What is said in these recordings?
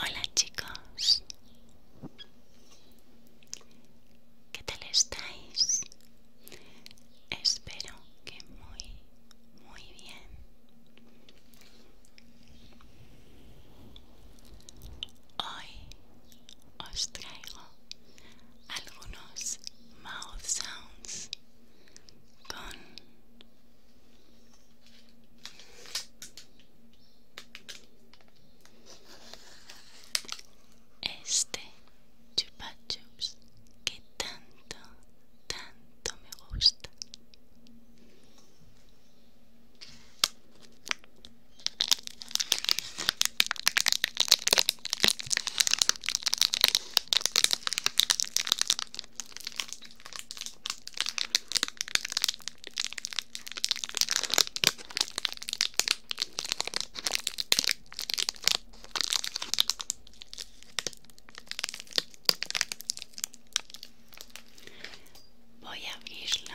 Hola chicos, ¿qué tal estáis? Espero que muy, muy bien. Hoy os traigo algunos mouth sounds con este chupa que tanto tanto me gusta Voy a abrirlo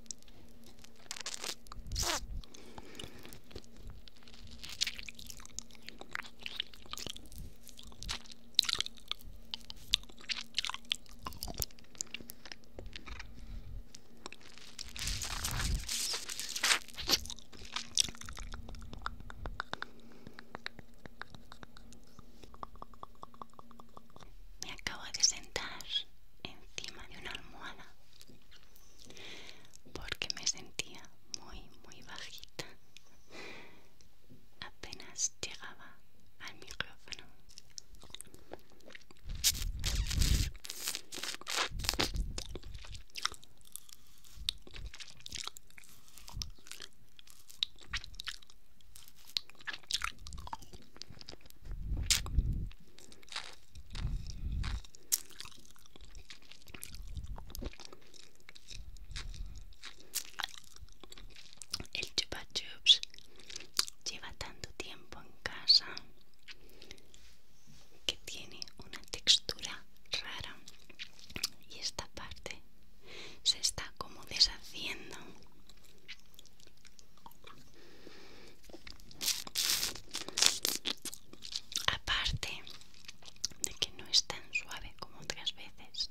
Me acabo de sentar encima de una almohada porque me sentía muy muy bajita apenas llegaba al micrófono el chupa chups lleva tanto tiempo en casa que tiene una textura rara y esta parte se está como deshaciendo Aparte de que no es tan suave como otras veces.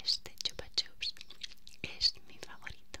Este chupa chups es mi favorito.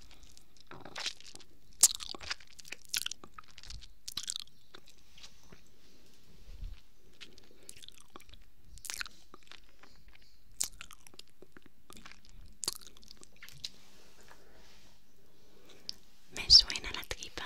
Me suena la tripa.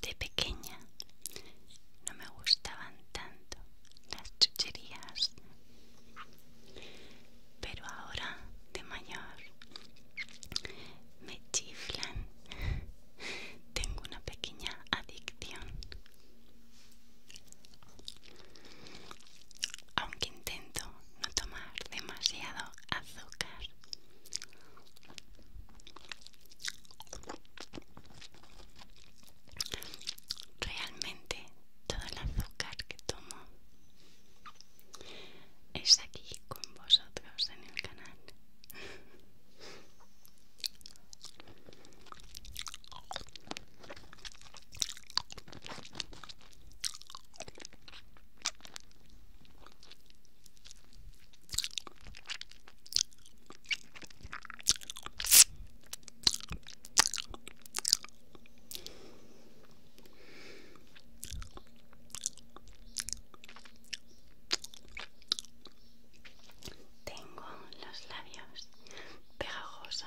de pequeña no me gustaban tanto las chucherías, pero ahora de mayor me chiflan. Tengo una pequeña adicción. Aunque intento no tomar demasiado azúcar. Realmente todo el azúcar que tomo es aquí con vosotros en el canal. Tengo los labios pegajosos.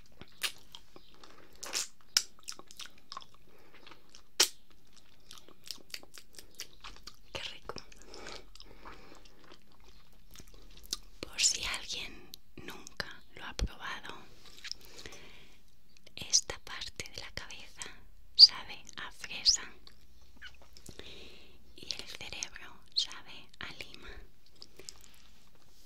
Qué rico. Por si alguien nunca lo ha probado, esta parte de la cabeza sabe a fresa y el cerebro sabe a lima.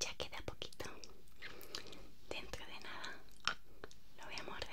Ya queda poquito. Dentro de nada lo voy a morder.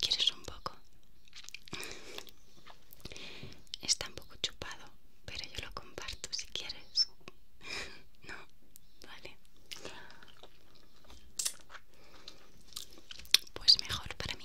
¿Quieres un poco? Está un poco chupado, pero yo lo comparto si quieres. No, vale pues mejor para mí.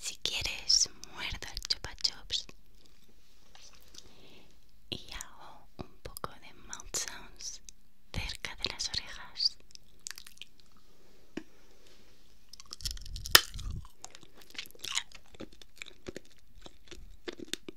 Si quieres, muerda el chupa chups y hago un poco de mouth sounds cerca de las orejas.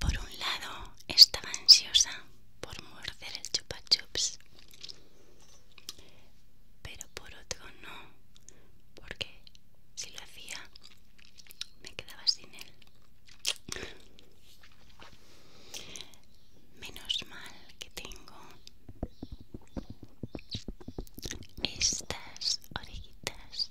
Por un lado, estaba ansiosa por morder el chupa chups, pero por otro no, porque si lo hacía me quedaba sin él menos mal que tengo estas orejitas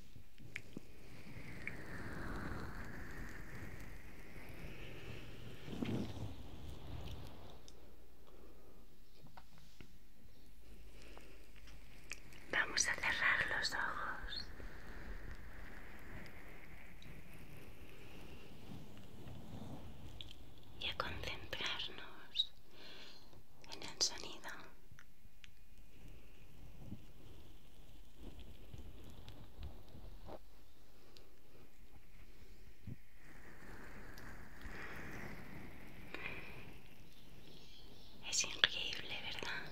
Vamos a cerrar los ojos. Y a concentrarnos en el sonido es increíble, ¿verdad?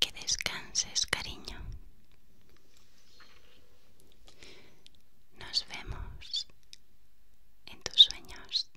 Que descanses, cariño. Nos vemos en tus sueños.